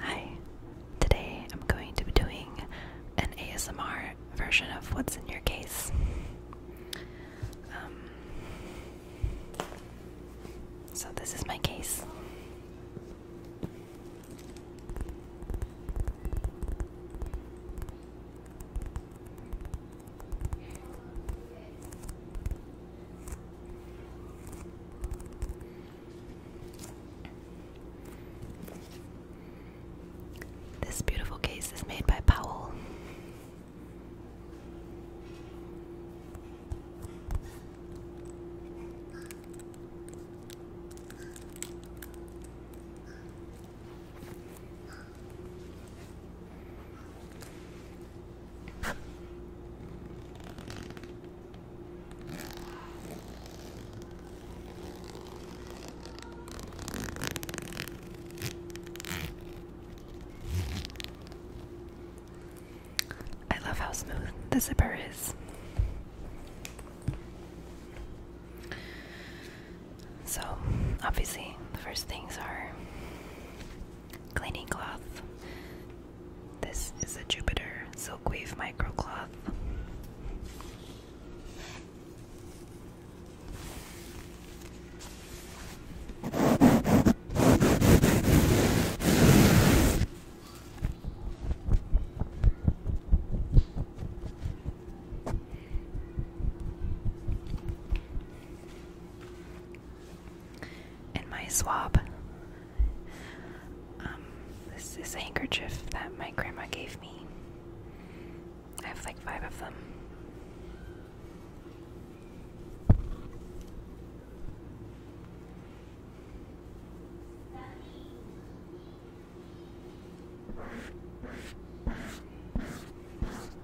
Hi, today I'm going to be doing an ASMR version of What's in Your Case. Um, so, this is my case. This beautiful case is made by Powell. I love how smooth the zipper is. So, obviously, the first things are cleaning cloth. This is a Jupiter Silkweave Microcloth. And my swab. Um, this is a handkerchief that my grandma gave me. I have like five of them.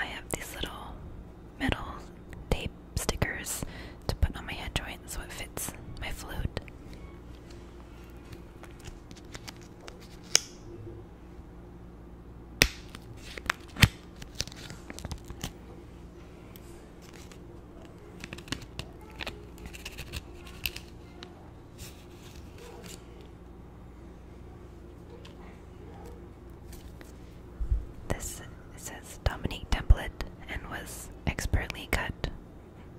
I have these little metal tape stickers to put on my head joint so it fits my flute. This says Dominique Templet and was expertly cut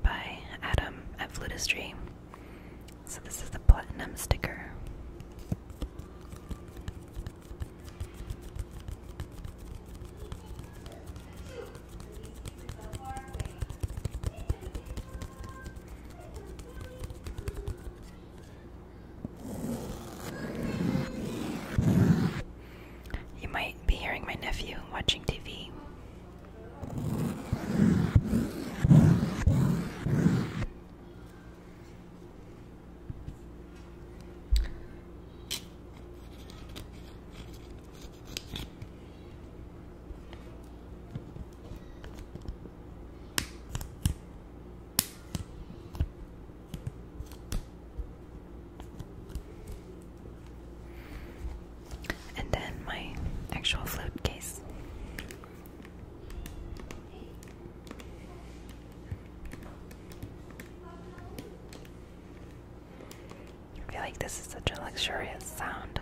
by Adam at Flutistry. So this is the platinum sticker. You might be hearing my nephew watching TV. And then my actual flute case. I feel like this is such a luxurious sound.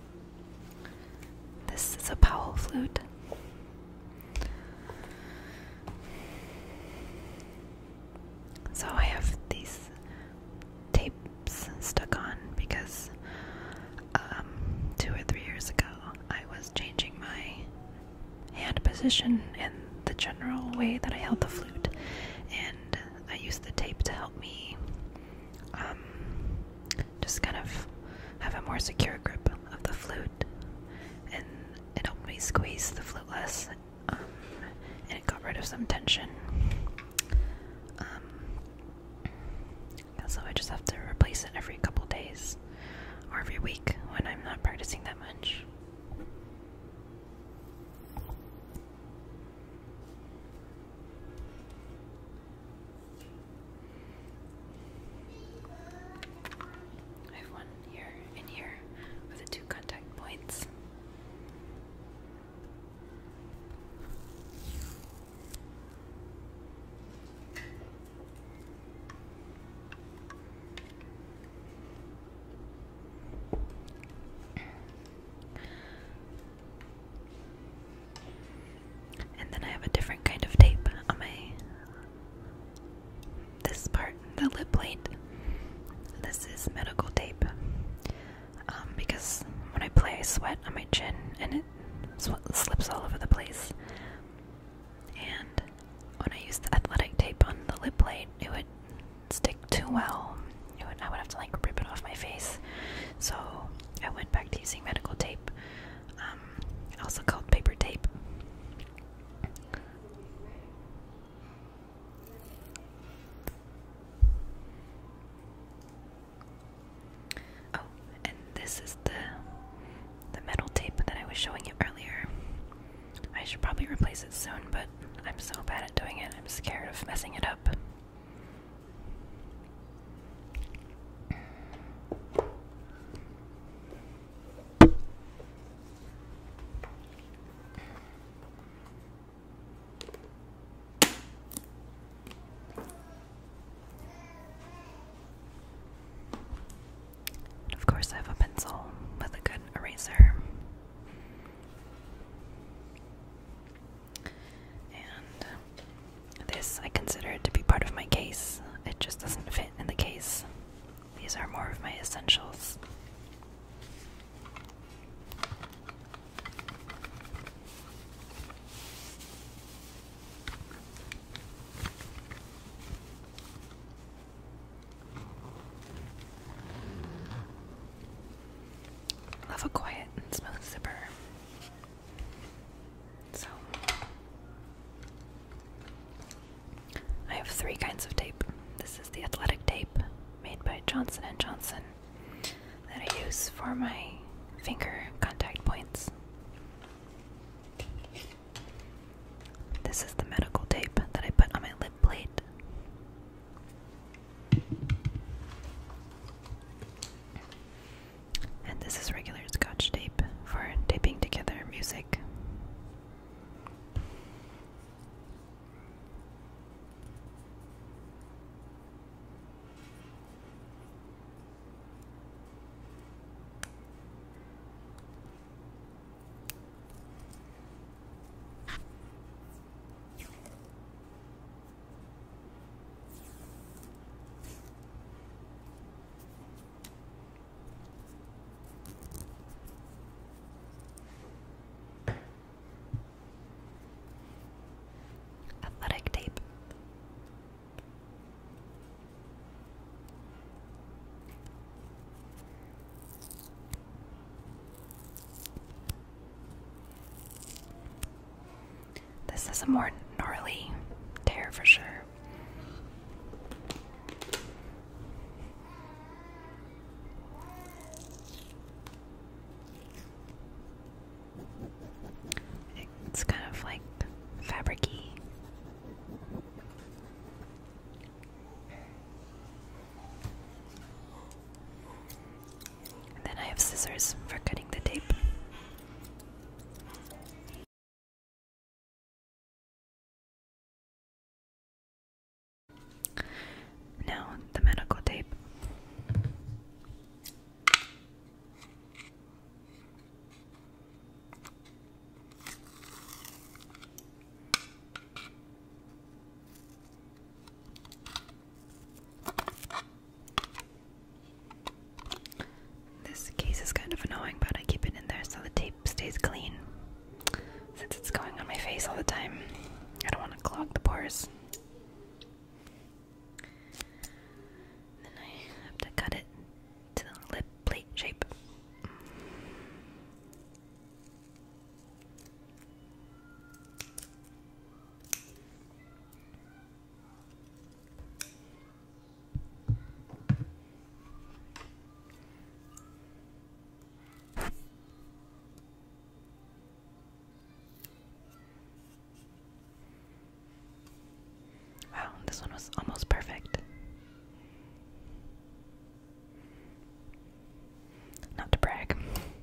This is a Powell flute. So I have these tapes stuck on because um, two or three years ago I was changing my hand position and the general way that I held the flute, and I used the tape to help me um, just kind of have a more secure grip of the flute, and it helped me squeeze the flute less, um, and it got rid of some tension. Um, so I just have to replace it every couple days or every week when I'm not practicing that much. I have one here and here with the two contact points. And then I have a different kind of tape on my this part, the lip plate. This is medical tape. Um, because when I play, I sweat on my chin and it slips all over the place. And when I use the athletic tape on the lip plate, it would stick too well. It I would have to like rip it off my face. So I went back to using medical tape, um, also called paper tape. Oh, and this is the the metal tape that I was showing you earlier. I should probably replace it soon, but I'm so bad at doing it. I'm scared of messing it up. Of course, I have a pencil with a good eraser. And uh, this I consider to be part of my case. It just doesn't fit in the case. These are more of my essentials. Love a quiet and smooth zipper. So I have three kinds of tape. This is the athletic tape made by Johnson and Johnson that I use for my finger contact points. This is the medical tape that I put on my lip plate. And this is regular scotch tape for taping together music. Athletic tape. This is a more gnarly tear for sure. It's kind of like fabricy then I have scissors for cutting the tape. Now, the medical tape. This case is kind of annoying, but I keep it in there so the tape stays clean. Since it's going on my face all the time, I don't want to clog the pores. Then I have to cut it to the lip plate shape. Wow, this one was almost perfect. Not to brag. And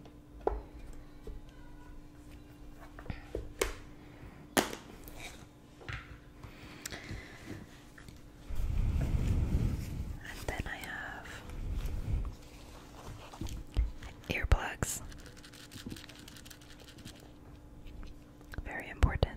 then I have earplugs. Very important.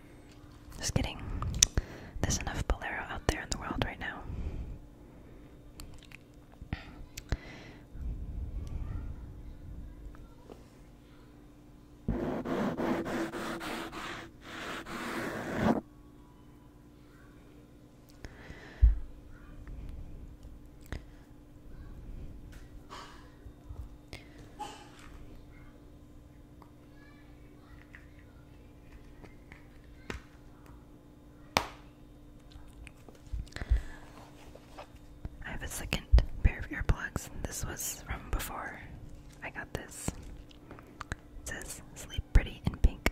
Just kidding. There's enough Bolero out there in the world right now. I have a second pair of earplugs. This was from before I got this. says sleep pretty in pink.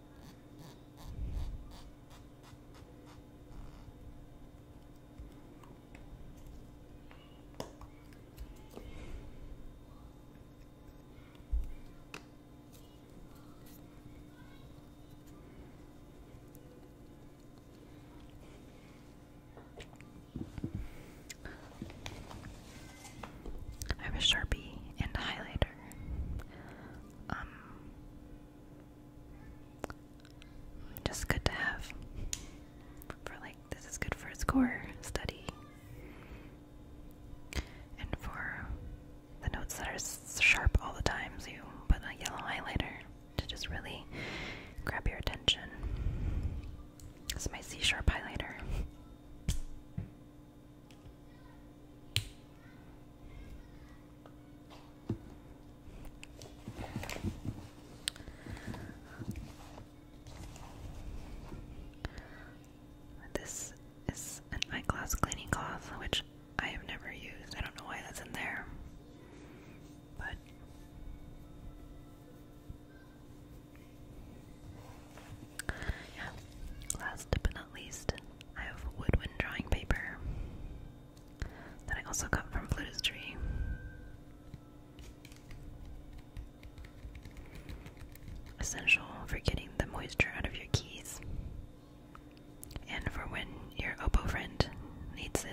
I have a sharpie and a highlighter um just good to have for like this is good for score study and for the notes that are sharp all the time so you put a yellow highlighter to just really grab your attention. This is my C sharp highlighter. This is an eyeglass cleaning cloth, which I have never used. I don't know why that's in there. But Last but not least, I have woodwind drawing paper that I also got from Tree. Essential for getting the moisture out of your keys and for when your oboe friend needs it.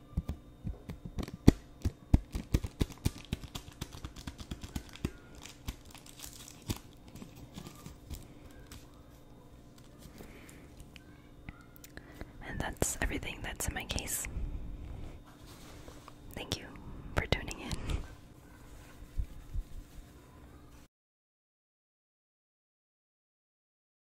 And that's everything that's in my case. Thank you for tuning in.